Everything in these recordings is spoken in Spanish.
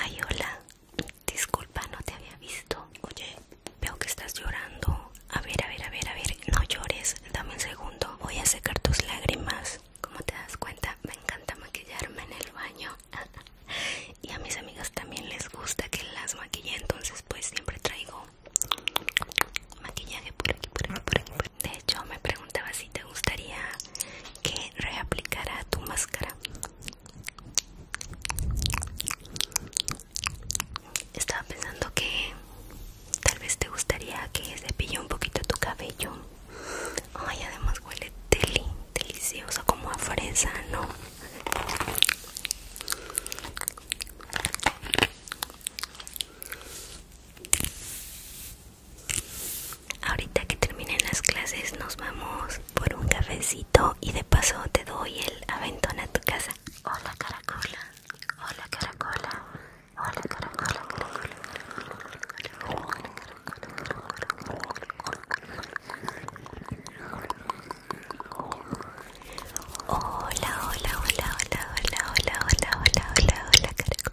Ay, hola. Disculpa, no te había visto. Oye, veo que estás llorando. A ver, a ver, a ver, a ver. No llores. Dame un segundo. Voy a secar tus lágrimas. Como te das cuenta, me encanta maquillarme en el baño. y a mis amigas también les gusta que las maquille. Entonces, pues siempre traigo maquillaje por aquí, por aquí, por aquí. De hecho, me pregunto si te gustaría que reaplicara tu máscara. Estaba pensando que tal vez te gustaría que cepille un poquito tu cabello. Ay, además huele delicioso como a fresa, ¿no? Ahorita que terminen las clases nos vamos por un cafecito y de paso te doy el aventón a tu casa. Hola caracola, hola caracola, hola caracola, caracola, caracola, Hola, hola, hola, hola, hola, hola, hola, hola, hola, hola, caracola.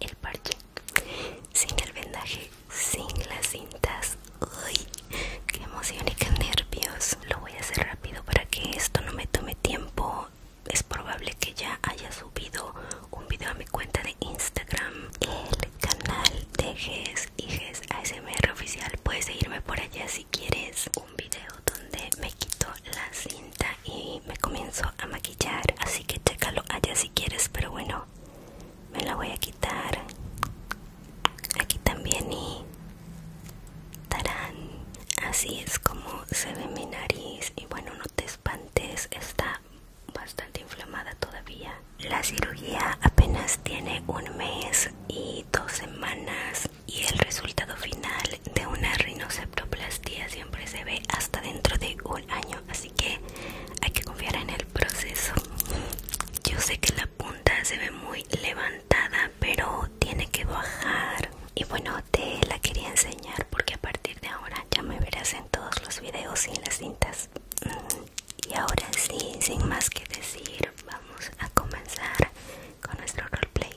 el parche, sin el vendaje, sin las cintas. Uy, que emoción y que nervios. Lo voy a hacer rápido para que esto no me tome tiempo. Es probable que ya haya subido un video a mi cuenta de Instagram, el canal de GES y GES ASMR oficial. Puedes seguirme por allá si quieres. Un video donde me quito la cinta y me comienzo a maquillar. Así que chécalo allá si quieres. Pero bueno, me la voy a quitar aquí también y tarán así es como se ve mi nariz y bueno no te espantes está bastante inflamada todavía la cirugía apenas tiene un mes y dos semanas y el resultado final de una rinoceptoplastia siempre se ve hasta dentro de un año así que hay que confiar en el proceso yo sé que la punta se ve muy levantada pero tiene que bajar y bueno te la quería enseñar porque a partir de ahora ya me verás en todos los videos sin las cintas mm, y ahora sí sin más que decir vamos a comenzar con nuestro roleplay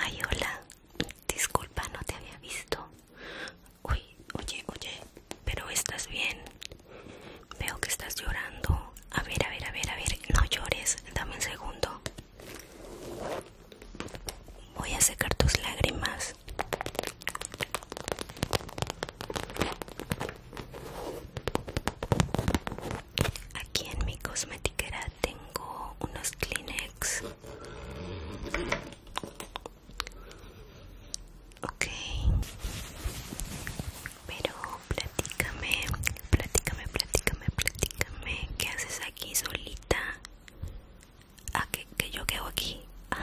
Ay, hola. Disculpa, no te había visto. Uy, oye, oye, pero estás bien. Veo que estás llorando. A ver, a ver, a ver, a ver. No llores. Dame un segundo. Voy a secar tus lágrimas. Aquí en mi cosmetiquera tengo unos Kleenex. Ok. Pero platícame, platícame, platícame, platícame. ¿Qué haces aquí solita? Ah, ¿que yo quedo aquí?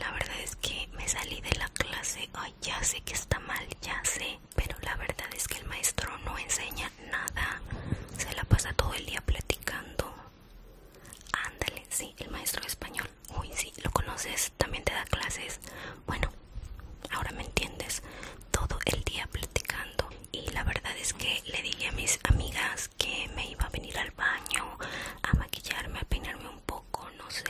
la verdad es que me salí de la clase ya sé que está mal, ya sé, pero la verdad es que el maestro no enseña nada, se la pasa todo el día platicando. Ándale, sí, el maestro español, uy, sí, lo conoces, también te da clases. Bueno, ahora me entiendes, todo el día platicando. Y la verdad es que le dije a mis amigas que me iba a venir al baño a maquillarme, a peinarme un poco conoce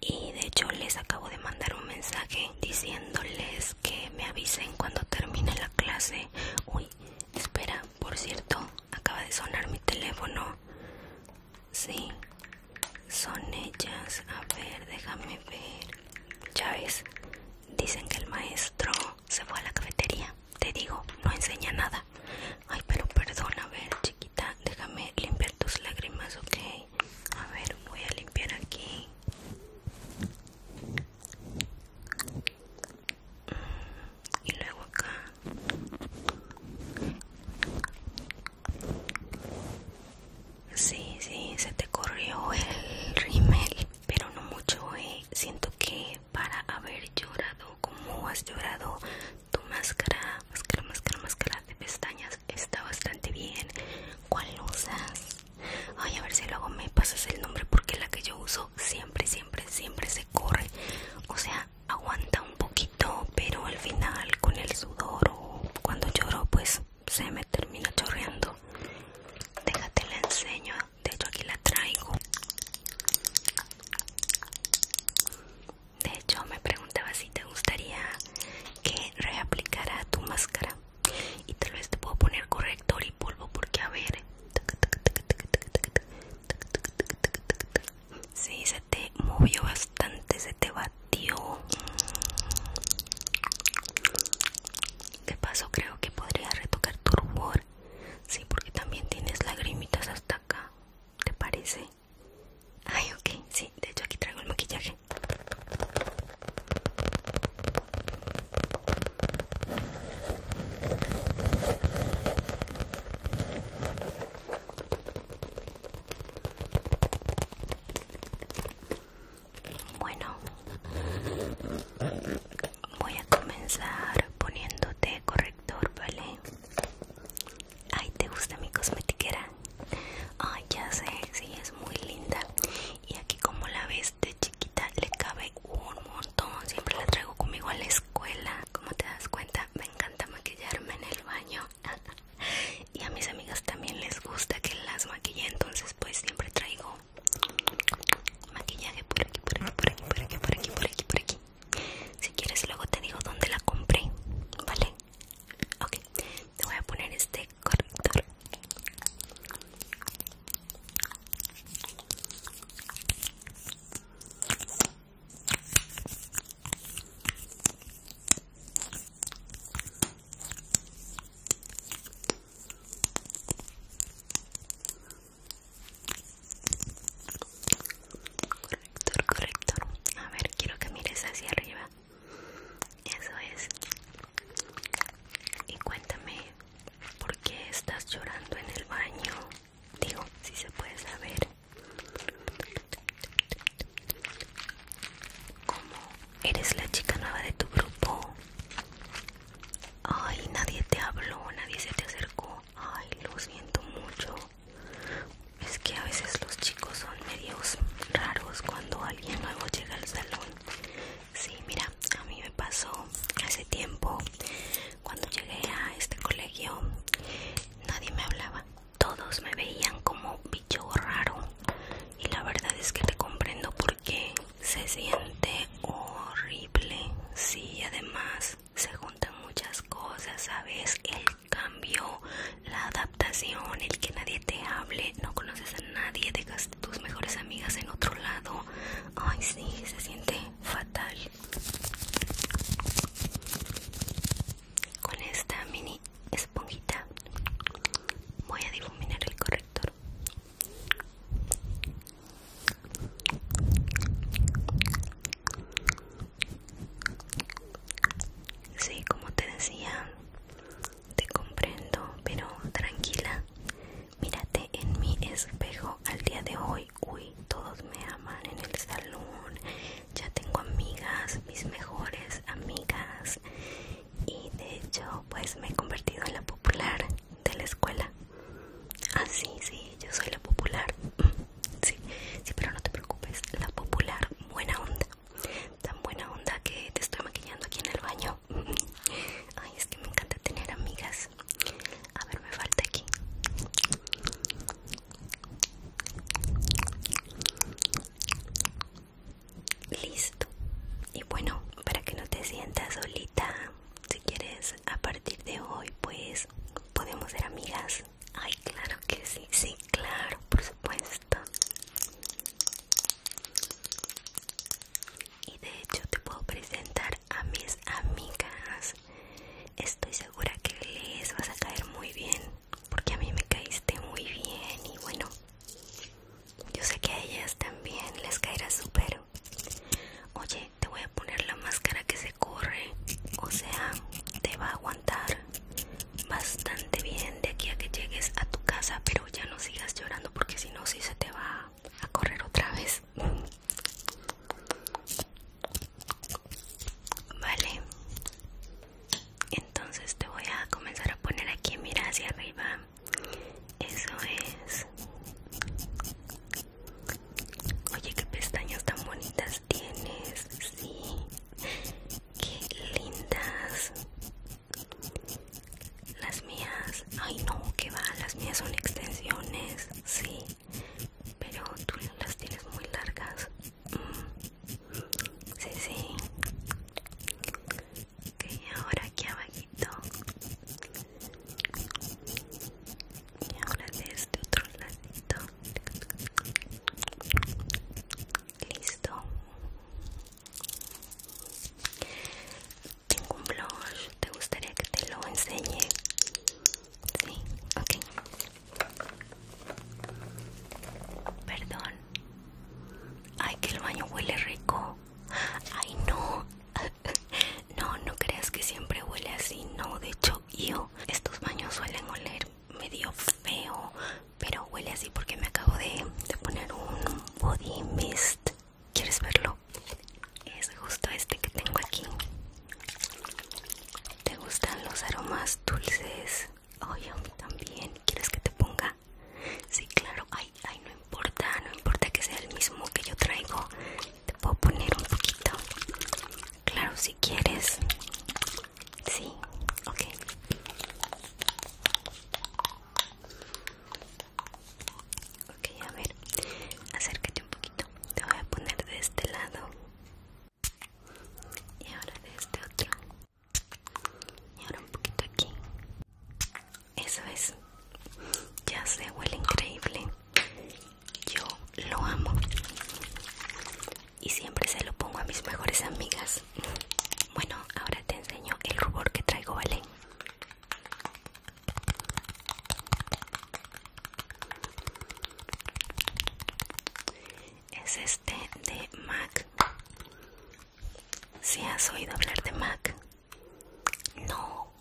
Y de hecho les acabo de mandar un mensaje diciéndoles que me avisen cuando termine la clase. Uy, espera, por cierto, acaba de sonar mi teléfono. Sí, son ellas. A ver, déjame ver. Chávez, dicen que el maestro se fue a la cafetería. Te digo, no enseña nada. Ay, pero perdón, a ver, chiquita, déjame limpiar tus lágrimas, ok a ver voy a limpiar aquí y luego acá sí sí se te corrió el rímel pero no mucho eh siento que para haber llorado como has llorado tu máscara máscara, máscara, máscara de pestañas está bastante bien. ¿Cuál usas? Ay, a ver si luego me pasas el nombre porque la que yo uso siempre, siempre, siempre se corre. O sea, aguanta un poquito, pero al final con el sudor o cuando lloro, pues se me termina chorreando. Déjate la enseño, de hecho aquí la traigo. De hecho, me preguntaba si te gustaría que reaplicara tu máscara. Y tal vez te puedo poner corrector y polvo porque a ver. Sí, se te movió bastante, se te batió. ¿Qué pasó? creo que podría retocar tu rubor. Sí, porque también tienes lagrimitas hasta acá. ¿Te parece? Ay, ok, sí, de hecho aquí traigo el maquillaje. Bueno, voy a comenzar poniéndote corrector, ¿vale? Ay, ¿te gusta mi cosmetiquera? Ay, ya sé, sí, es muy linda. Y aquí como la ves de chiquita le cabe un montón. Siempre la traigo conmigo a la escuela. Como te das cuenta, me encanta maquillarme en el baño. y a mis amigas también les gusta que las maquille, entonces pues siempre traigo maquillaje por aquí, por aquí, por aquí, por aquí, por aquí, por aquí, por aquí. Si quieres luego te digo dónde la compré, ¿vale? Ok, te voy a poner este corrector Corrector, corrector. A ver, quiero que mires hacia arriba. Eso es. Y cuéntame, ¿por qué estás llorando en el baño? Digo, si se puede saber. ¿Cómo? ¿Eres la chica nueva de tu grupo? Ay, nadie te habló, nadie se te acercó. Ay, lo siento mucho. Es que a veces los chicos son medios raros cuando alguien nuevo llega al salón. Sí, mira, a mí me pasó hace tiempo cuando llegué a este colegio, nadie me hablaba. Todos me veían como bicho raro. Y la verdad es que te comprendo porque se siente horrible. Sí, además se juntan muchas cosas, ¿sabes? El cambio, la adaptación, el que nadie te hable, no conoces a nadie, dejas tus mejores amigas en otro lado. Ay, sí, se siente fatal. Con esta mini esponjita voy a difuminar el corrector. Sí, como te decía, te comprendo, pero tranquila. Mírate en mi espejo al día de hoy. Uy, todos me aman en el salón. Ya tengo amigas, mis mejores amigas. Y de hecho, pues me he convertido en la popular de la escuela. Ah, sí, sí, yo soy la popular. Mm, sí, sí, pero no te preocupes, la popular, buena onda tan buena onda que te estoy maquillando aquí en el baño. Ay, es que me encanta tener amigas. A ver, me falta aquí. Listo. Y bueno, para que no te sientas solita, si quieres, a partir de hoy, pues podemos ser amigas. Ay, claro que sí, sí, claro, por supuesto. Y de hecho te puedo presentar a mis amigas. Estoy segura que les vas a caer muy bien, porque a mí me caíste muy bien y bueno, yo sé que a ellas también les caerá súper. Oye, te voy a poner la máscara que se corre, o sea, te va a aguantar bastante bien de aquí a que llegues a tu casa, pero ya no sigas llorando porque si no, si se te va a correr otra vez. Vale, entonces te voy a comenzar a poner aquí, mira hacia arriba. Eso es. Oye, qué pestañas tan bonitas tienes, sí. Qué lindas. Las mías, ay no, que va, las mías son extensiones, sí. Pero tú las tienes muy largas. Mm. Sí, sí. Ok, ahora aquí abajito. Y ahora desde este otro lado Listo. Tengo un blush. ¿Te gustaría que te lo enseñe? Sí, ok. Perdón. Ay, que el baño huele rico. Ay, no. No, no creas que siempre huele así. No, de hecho, yo. Estos baños suelen oler medio feo pero huele así porque me acabo de, poner un body mist quieres verlo es justo este que tengo aquí te gustan los aromas dulces Oye, también quieres que te ponga sí claro ay ay no importa no importa que sea el mismo que yo traigo te puedo poner un poquito claro sí quieres. Sí, ok. Ok, a ver, acércate un poquito. Te voy a poner de este lado. Y ahora de este otro. Y ahora un poquito aquí. Eso es. Ya se huele increíble. Yo lo amo y siempre se lo pongo a mis mejores amigas. Bueno, ahora te enseño el rubor que traigo, ¿vale? Es este de MAC. Si has oído hablar de MAC, no,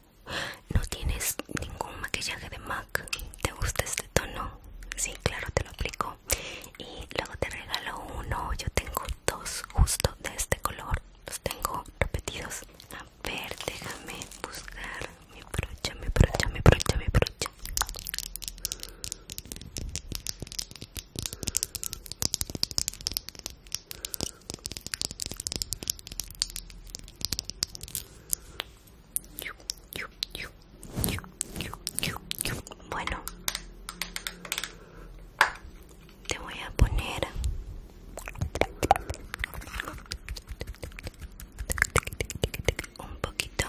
no tienes ningún maquillaje de MAC. ¿Te gusta este tono? Sí, claro, te lo aplico y luego te regalo uno. Yo tengo dos justo de este color. Los tengo repetidos. A ver, déjame buscar mi brocha, mi brocha, mi brocha, mi brocha. Bueno, te voy a poner un poquito.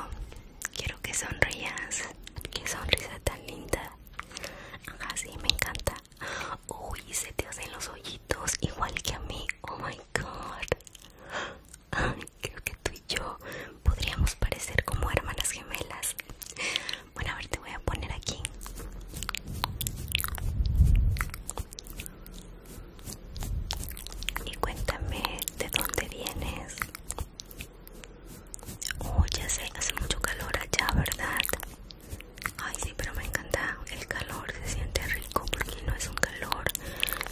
Quiero que sonrías. Qué sonrisa tan linda. Así me encanta. Uy, se te hacen los hoyitos igual que a mí. Oh my god. Creo que tú y yo podríamos parecer como hermanas gemelas. Bueno, a ver, te voy a poner aquí. Y cuéntame de dónde vienes. Oh, ya sé, hace mucho calor allá, ¿verdad? Ay, sí, pero me encanta el calor, se siente rico porque no es un calor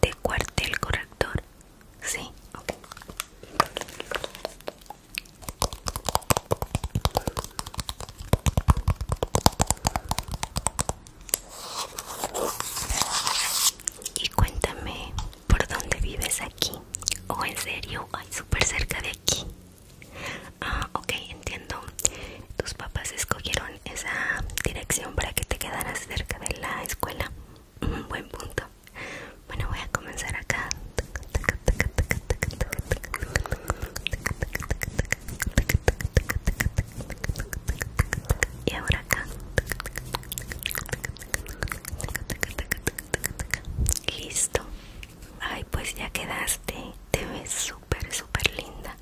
de cuartel corrector? Sí, ok. Y cuéntame por dónde vives aquí o en serio, hay súper cerca de aquí. Ah, ok, entiendo. Tus papás escogieron esa dirección para que te quedaras cerca de la escuela. Un buen punto. Bueno, voy a comenzar acá. Y ahora acá. Listo. Ay, pues ya quedaste. Te ves súper, súper linda.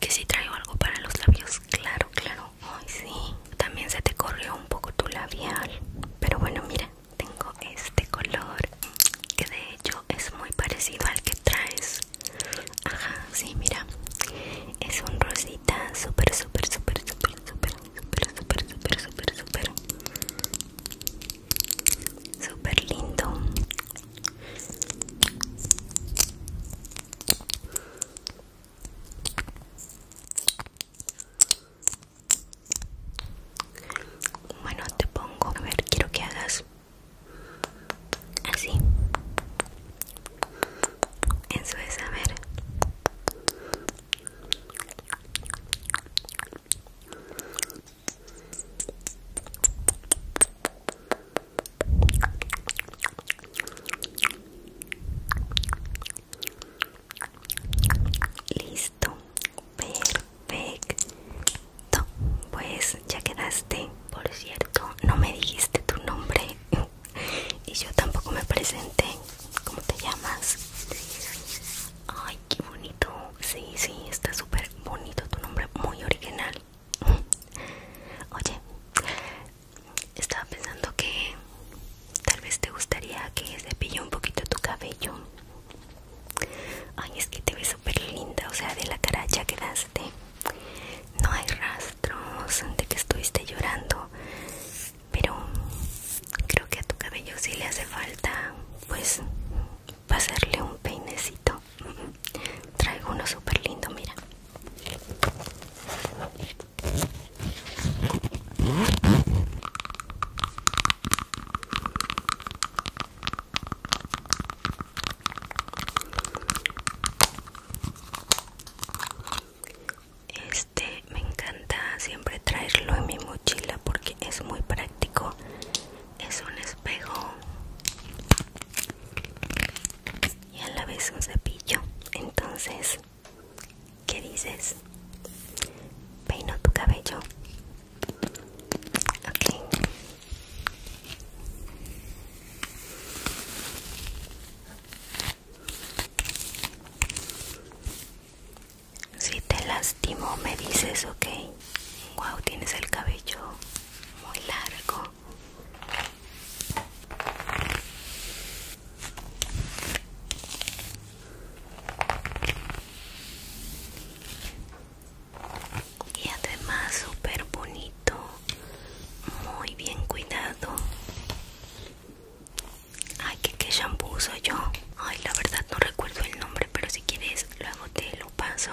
Que si traigo algo para los labios, claro, claro. Ay, sí. También se te corrió un poco tu labial. Pero bueno, mira, tengo este color que de hecho es muy parecido al que traes. Ajá, sí, mira. Es un rosita super, súper, súper, súper, súper, súper, súper, súper, súper, súper lindo. Bueno, te pongo, a ver, quiero que hagas así. Eso es, a ver. Listo, perfecto. Pues ya quedaste. Por cierto, no me dijiste tu nombre y yo tampoco me presenté. ¿Cómo te llamas? Ay, qué bonito. Sí, sí, está súper bonito tu nombre, muy original. Oye, estaba pensando que tal vez te gustaría que cepille un poquito tu cabello. Ay, es que te ves súper linda, o sea, de la cara ya quedaste. No hay rastros de que estuviste llorando, pero creo que a tu cabello sí le hace falta, pues, pasarle un peinecito traigo uno súper lindo mira este me encanta siempre traerlo en mi mochila porque es muy práctico es un espejo y a la vez un cepillo. Entonces, ¿qué dices? Peino tu cabello. Ok. Si te lastimo me dices, ok. Wow, tienes el cabello muy largo y además súper bonito muy bien cuidado ay que qué shampoo uso yo ay la verdad no recuerdo el nombre pero si quieres luego te lo paso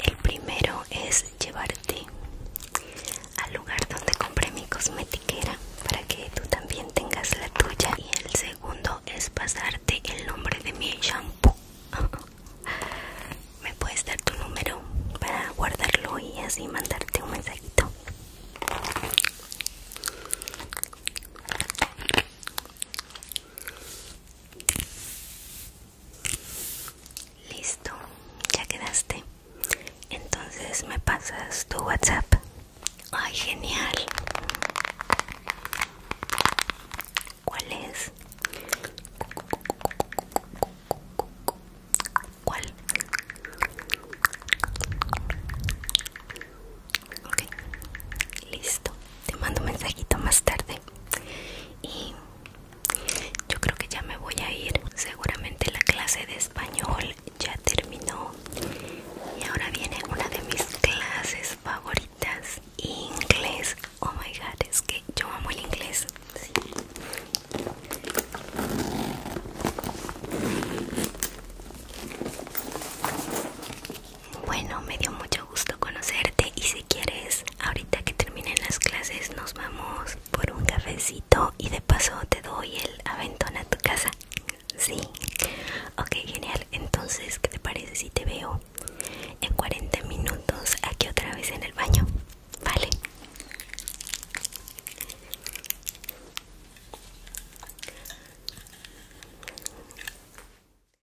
el primero es llevarte al lugar donde compré mi cosmetiquera para que tú también tengas la tuya. Y el segundo es pasarte el nombre de mi shampoo. Me puedes dar tu número para guardarlo y así mandarte un mensajito. Listo, ya quedaste. Entonces me pasas tu WhatsApp. Ay, genial. ¿Cuál es? ¿Cuál? Ok, listo. Te mando un mensajito más tarde y yo creo que ya me voy a ir seguramente la clase de español ya terminó y ahora viene una de mis clases favoritas inglés oh my god es que yo amo el inglés bueno, me dio mucho gusto conocerte y si quieres, ahorita que terminen las clases nos vamos por un cafecito y de paso te doy el aventón a tu casa. Sí. Ok, genial. Entonces, ¿qué te parece si te veo en 40 minutos aquí otra vez en el baño? Vale.